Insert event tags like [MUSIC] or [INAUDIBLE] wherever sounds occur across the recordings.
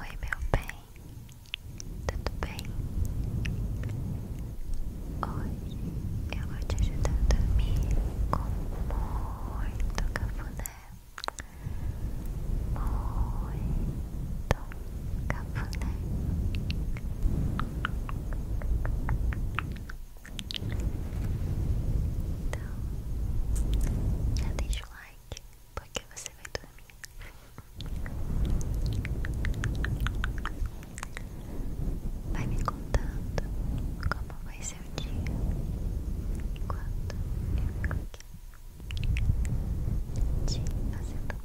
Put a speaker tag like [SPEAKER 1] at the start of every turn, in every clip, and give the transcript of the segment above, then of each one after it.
[SPEAKER 1] Oi, meu bem, tudo bem? Oi, eu vou te ajudar a dormir com muito cafuné, muito cafuné. Então, já deixa o like porque você vai dormir. Vai me contando como vai ser o dia enquanto eu fico aqui te fazendo um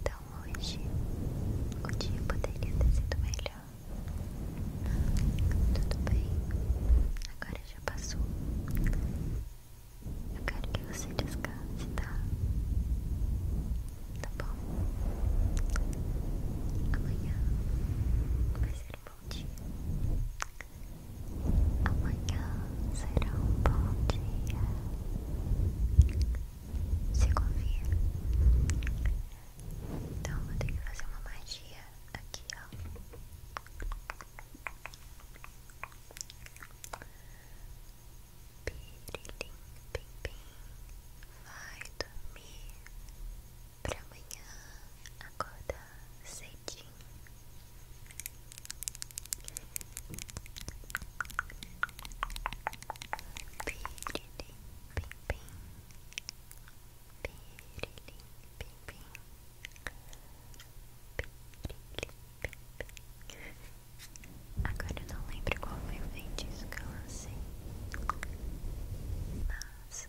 [SPEAKER 1] Então hoje o dia poderia ter sido melhor. Tudo bem? Agora já passou. Eu quero que você descanse, tá? Tá bom? Amanhã vai ser um bom dia. Amanhã será um bom dia se confia? Então vou ter que fazer uma magia aqui, ó. Pirilim, pim, pim. Vai dormir pra amanhã acordar cedinho pirilim, pim, pim. Pirilim, pim, pim. Pirilim, pim, pim. Agora eu não lembro qual foi o feitiço que eu lancei. Mas...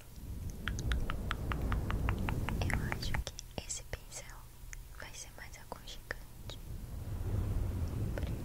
[SPEAKER 1] Eu acho que esse pincel vai ser mais aconchegante pra ele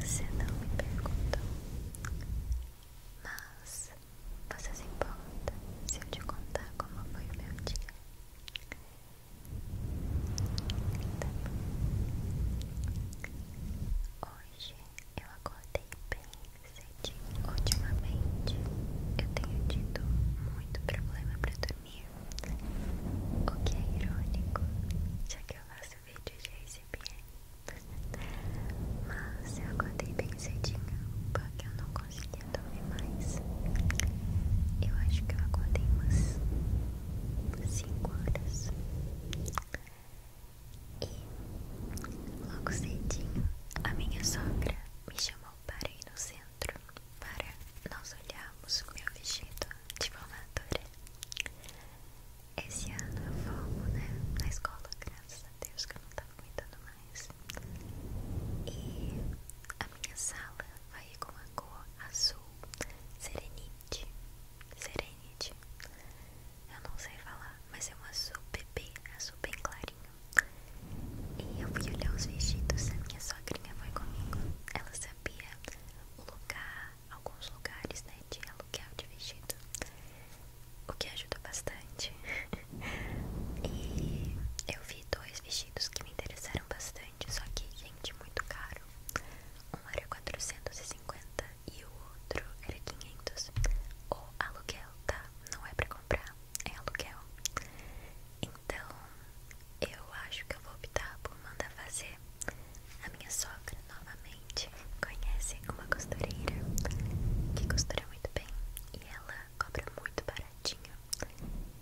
[SPEAKER 1] Você não me perguntou mas você se importa se eu te contar como foi o meu dia? Tá bom. Hoje eu acordei bem cedo. Ultimamente eu tenho tido muito problema pra dormir, o que é irônico, já que eu faço vídeos de ASMR. Mas eu acordei bem cedinho porque eu não conseguia dormir mais. Eu acho que eu acordei umas 5 horas. E logo cedinho a minha sogra me chamou para ir no centro para nós olharmos meu vestido de formatura. Esse ano eu formo, né, Na escola, graças a Deus que eu não tava aguentando e a minha sala vai com a cor azul serenite. Serenite. Eu não sei falar, mas é um azul bebê, azul bem clarinho. E eu fui olhar os vestidos, a minha sogrinha foi comigo. Ela sabia o lugar, alguns lugares, né, de aluguel de vestido o que ajudou bastante. [LAUGHS] e eu vi dois vestidos que me interessaram bastante, só que, gente, muito caro. Um era 450 e o outro era 500. O aluguel, tá? Não é pra comprar, é aluguel. Então, eu acho que eu vou optar por mandar fazer a minha sogra novamente conhece uma costureira que costura muito bem e ela cobra muito baratinho.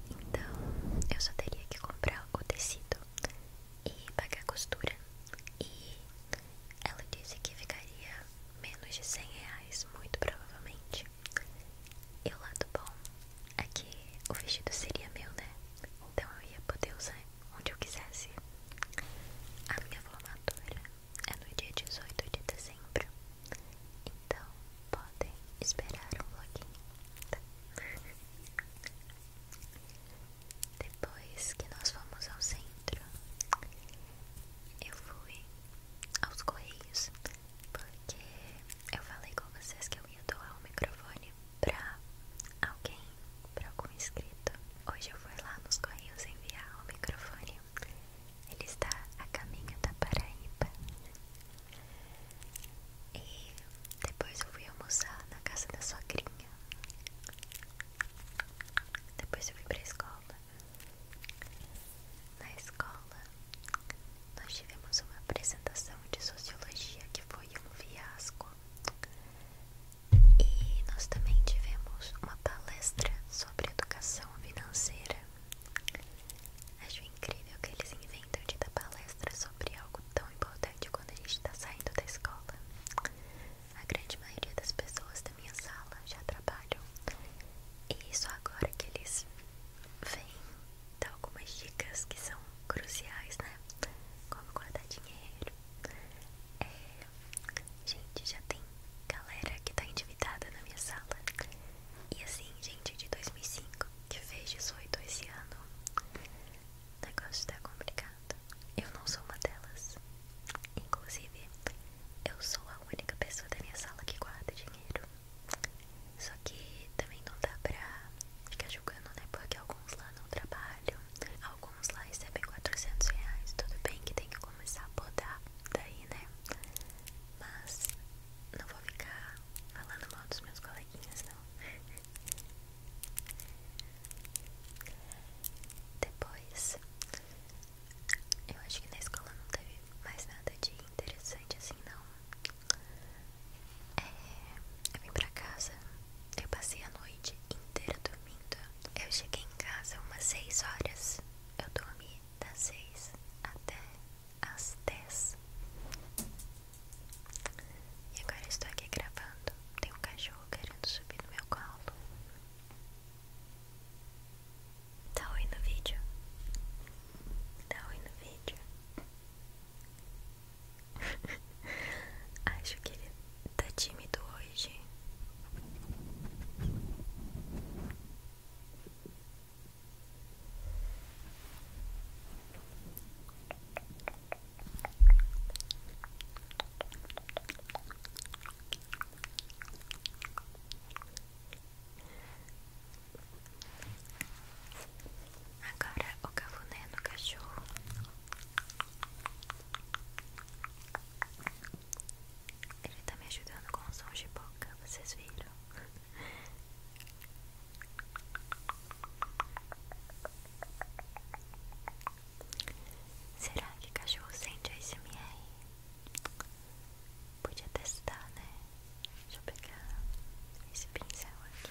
[SPEAKER 1] Então eu só teria que comprar o tecido e pagar a costura. E ela disse que ficaria menos de 100 reais, muito provavelmente. E o lado bom é que o vestido seria meu, né? Então eu ia poder usar onde eu quisesse. A minha formatura é no dia 18 de dezembro. Então podem esperar um vloginho. Tá? Depois que nós fomos ao centro, eu fui aos correios porque eu falei com vocês que eu ia doar o um microfone para alguém para algum inscrito. Hoje eu fui lá nos Correios enviar o microfone. Ele está a caminho da Paraíba. E depois eu fui almoçar na casa da sogrinha. Depois eu fui pra escola. Na escola, nós tivemos uma apresentação de sociologia que foi um fiasco. E nós também tivemos uma palestra sobre educação financeira. Acho incrível que eles inventam de dar palestra sobre algo tão importante quando a gente está saindo da escola. A grande maioria das pessoas da minha sala já trabalham. E só agora que eles vêm dar algumas dicas que são cruciais, né? Como guardar dinheiro, é, gente, já tem galera que tá endividada na minha sala. E assim, gente de 2005 que fez 18 esse ano, o negócio tá complicado. Eu não sou uma delas. Inclusive, eu sou a única pessoa da minha sala que guarda dinheiro. Só que também não dá pra ficar julgando, né? Porque alguns lá não trabalham Alguns lá recebem 400 reais. Tudo bem que tem que começar a botar daí, né? Mas não vou ficar falando mal dos meus coleguinhas, não. Depois, eu acho que na escola não teve mais nada de interessante assim, não. É, eu vim pra casa eu passei a noite inteira dormindo. Eu cheguei em casa umas 6 horas. Eu dormi das 6 até as 10. E agora estou aqui gravando. Tem um cachorro querendo subir no meu colo. Tá oi no vídeo. Tá oi no vídeo. [LAUGHS] Acho que ele tá tímido hoje. Agora o cafuné no cachorro. Ele tá me ajudando com o som de boca, vocês viram? Será que cachorro sente ASMR? Podia testar, né? Deixa eu pegar esse pincel aqui.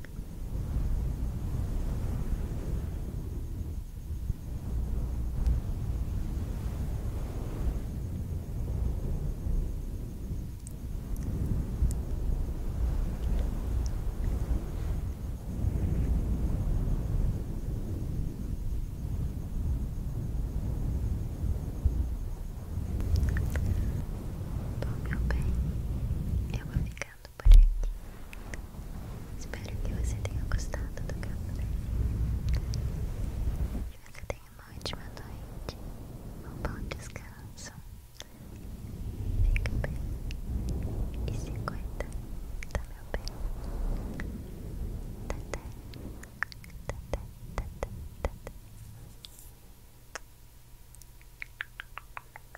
[SPEAKER 1] Bom, meu bem, eu vou ficando Espero que você tenha gostado do cafezinho. Que você tenha uma ótima noite, um bom descanso. Fica bem e se cuida, tá meu bem? Tata, tata, tata, tata.